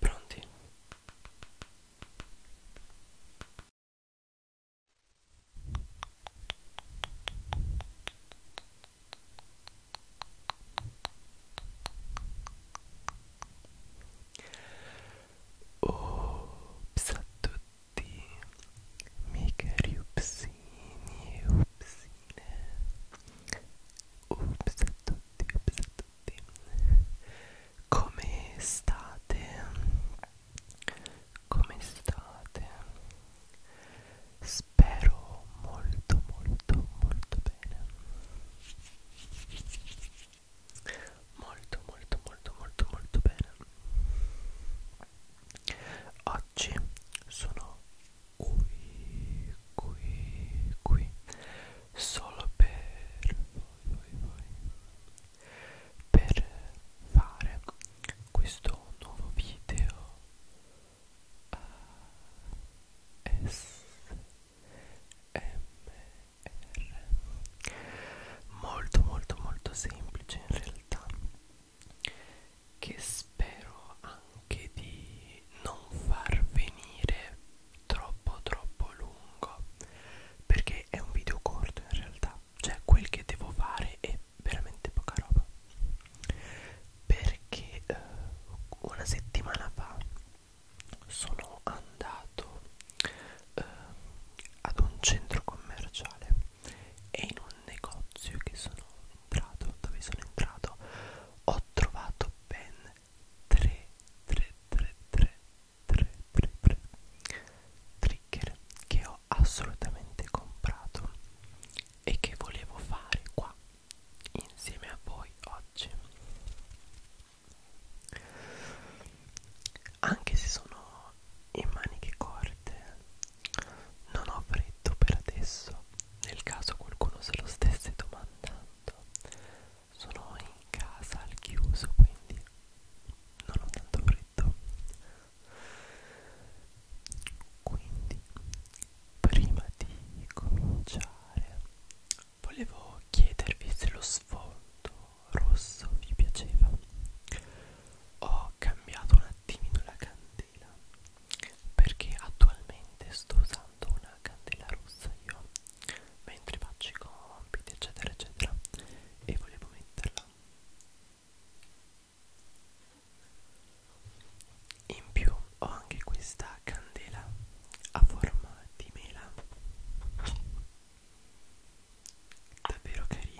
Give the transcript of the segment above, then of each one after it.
Pronti? Ops a tutti, mica riupsini e upsine ups a tutti ups a tutti come state come state spero molto molto molto bene molto molto molto molto molto bene Oggi sono qui, qui, qui, solo per voi, voi, voi, per fare questo nuovo video ASMR molto molto molto semplice in realtà che spero anche di non far venire troppo troppo lungo perché è un video corto in realtà cioè quel che devo fare è veramente poca roba perché eh, una settimana fa sono andato eh, ad un centro commerciale e in un negozio che sono entrato dove sono entrato ho trovato ben 3 3 3 3 3 3 3 trigger che ho assolutamente comprato e che volevo fare qua insieme a voi oggi anche se sono in maniche corte non ho freddo per adesso, nel caso qualcuno se lo stesse domandando. Sono in casa al chiuso, quindi non ho tanto freddo. Quindi, prima di cominciare, volevo chiedervi se lo sfondo rosso vi piaceva. Ho cambiato un attimino la canzone candela perché attualmente sto usando una candela rossa io mentre faccio i compiti eccetera eccetera e volevo metterla in più ho anche questa candela a forma di mela davvero carina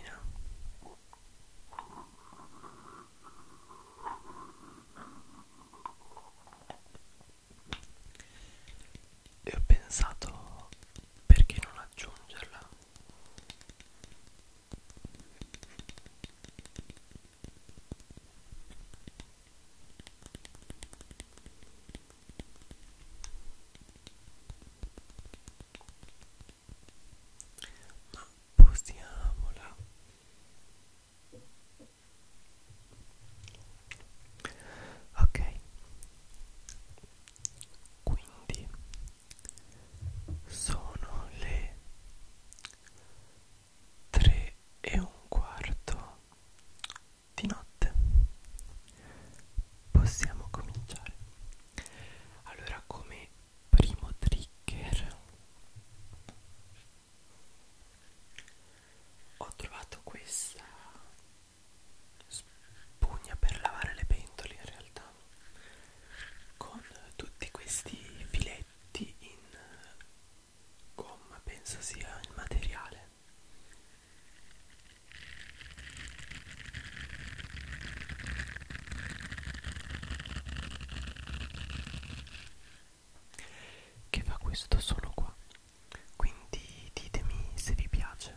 e ho pensato perché non aggiungerla ma posiamola ok quindi sono le tre e un quarto di notte possiamo cominciare allora come primo trigger ho trovato questa spugna per lavare le pentole in realtà con tutti questi filetti in gomma penso sia il materiale che fa questo solo qua quindi ditemi se vi piace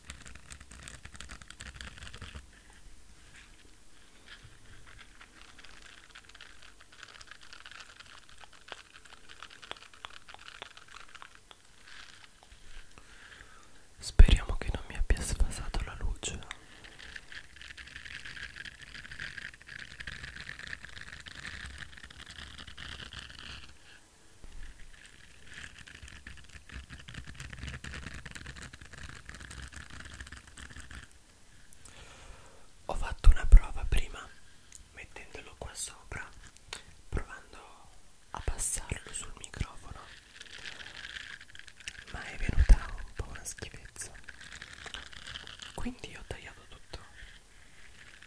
Speriamo che non mi abbia sfasato la luce. Ho fatto una prova prima mettendolo qua sopra, provando a passarlo sul microfono, ma è venuta un po' una schifezza. Quindi ho tagliato tutto.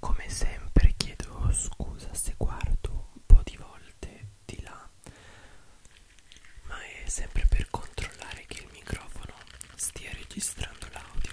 Come sempre chiedo scusa se guardo un po' di volte di là, ma è sempre per controllare che il microfono stia registrando l'audio.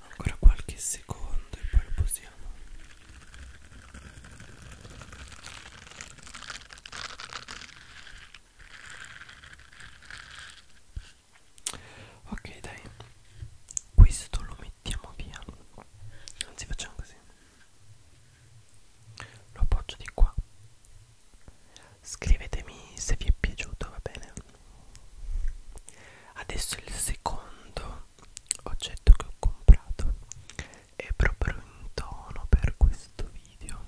Ancora qualche secondo e poi lo posiamo. Ok dai, questo lo mettiamo via. Anzi facciamo così lo appoggio di qua scrivetemi se vi è piaciuto va bene adesso il secondo oggetto che ho comprato è proprio in tono per questo video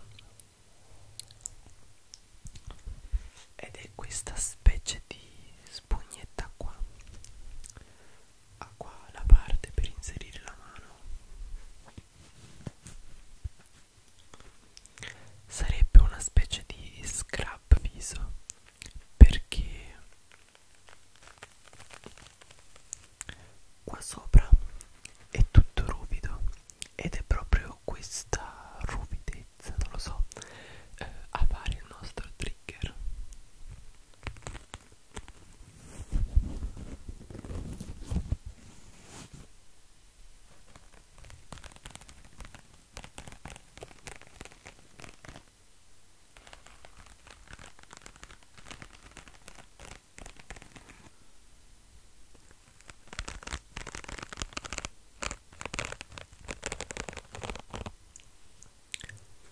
ed è questa specie di spugnetta qua ha qua la parte per inserire la mano sarebbe una specie di scrub viso perché qua sopra è tutto ruvido ed è proprio questa ruvidezza non lo so eh, a fare il nostro trigger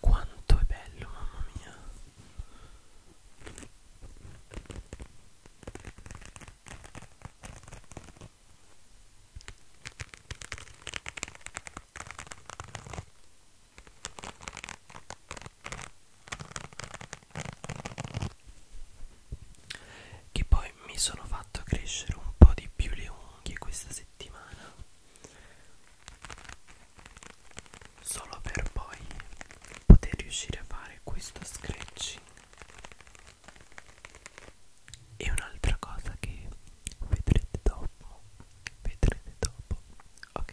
quanto è bello, mamma mia che poi mi sono fatto crescere un po' di più le unghie questa settimana solo per poi poter riuscire a fare questo scratching e un'altra cosa che vedrete dopo vedrete dopo ok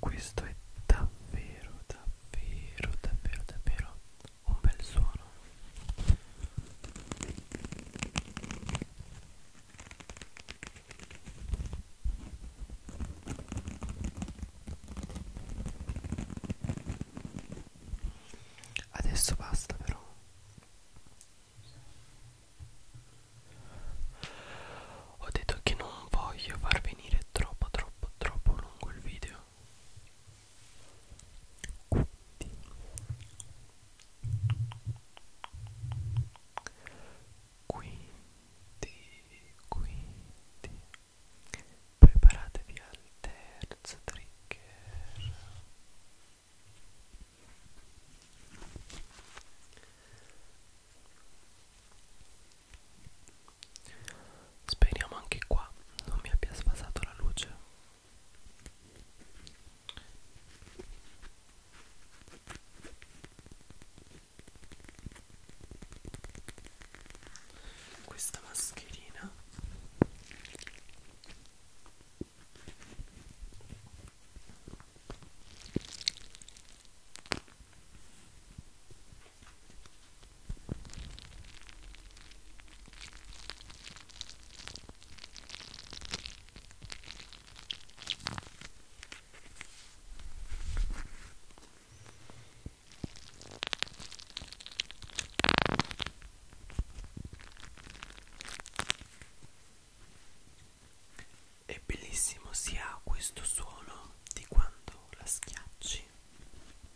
Questo è davvero davvero davvero davvero un bel suono adesso basta però ho detto che non voglio far venire troppo troppo troppo lungo il video quindi quindi quindi preparatevi al terzo trigger Speriamo anche qua non mi abbia sfasato la luce. Questa mascherina è bellissimo sia questo suono di quando la schiacci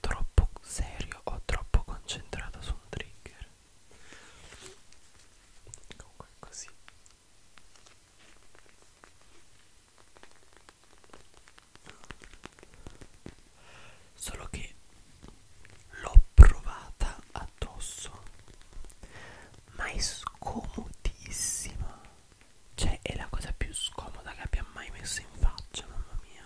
troppo serio o troppo concentrato su un trigger comunque è così solo che l'ho provata addosso ma è scomodissima cioè è la cosa più scomoda che abbia mai messo in faccia mamma mia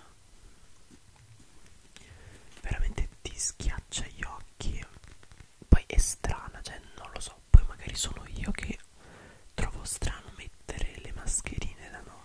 veramente ti schiaccia gli occhi poi è strana cioè non lo so poi magari sono io che trovo strano mettere le mascherine la notte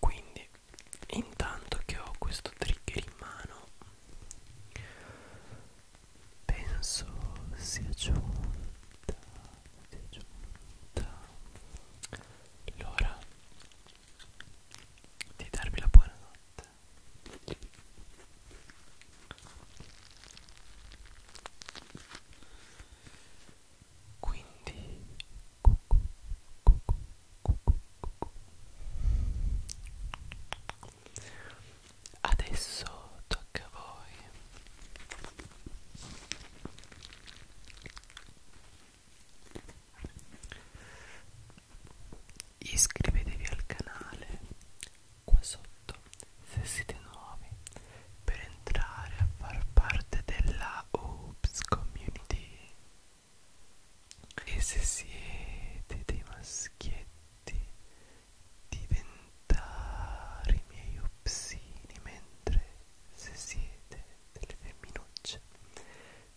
quindi intanto che ho questo trigger in mano penso sia giunta sia giunta l'ora di darvi la buonanotte quindi adesso tocca a voi iscrivetevi al canale qua sotto se siete nuovi per entrare a far parte della Oops Community e se siete dei maschietti diventare i miei upsini mentre se siete delle femminucce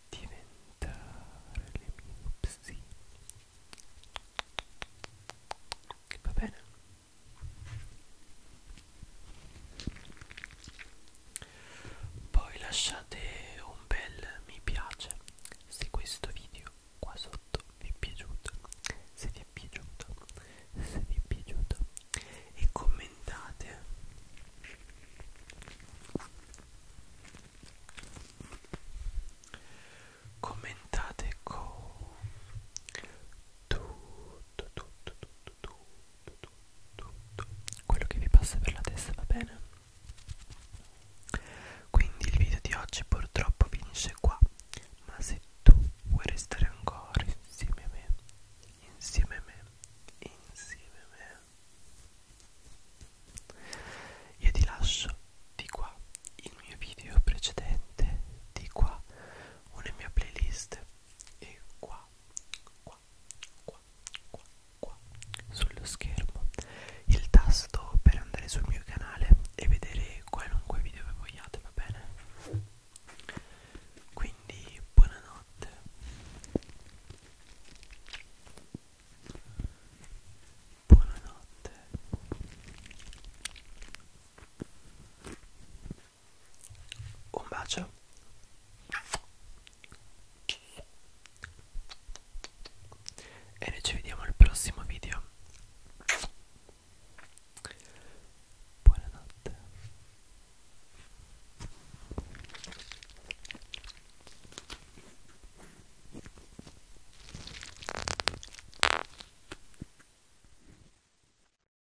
diventare le mie upsini va bene poi lasciate un bel mi piace se questo video qua sotto vi è piaciuto se vi è piaciuto se vi è piaciuto e commentate commentate con tutto tutto tutto tutto, tutto, tutto, tutto quello che vi passa per la testa, va bene? Quindi il video di oggi purtroppo finisce qua, ma se tu vuoi restare ancora insieme a me, insieme a me, insieme a me, io ti lascio di qua il mio video precedente, di qua una mia playlist e qua qua, qua, qua, qua, qua sullo schermo il tasto per andare sul mio canale e vedere qualunque video che vogliate, va bene? Quindi buonanotte. Buonanotte. Un bacio. E noi ci vediamo al prossimo video. Buonanotte.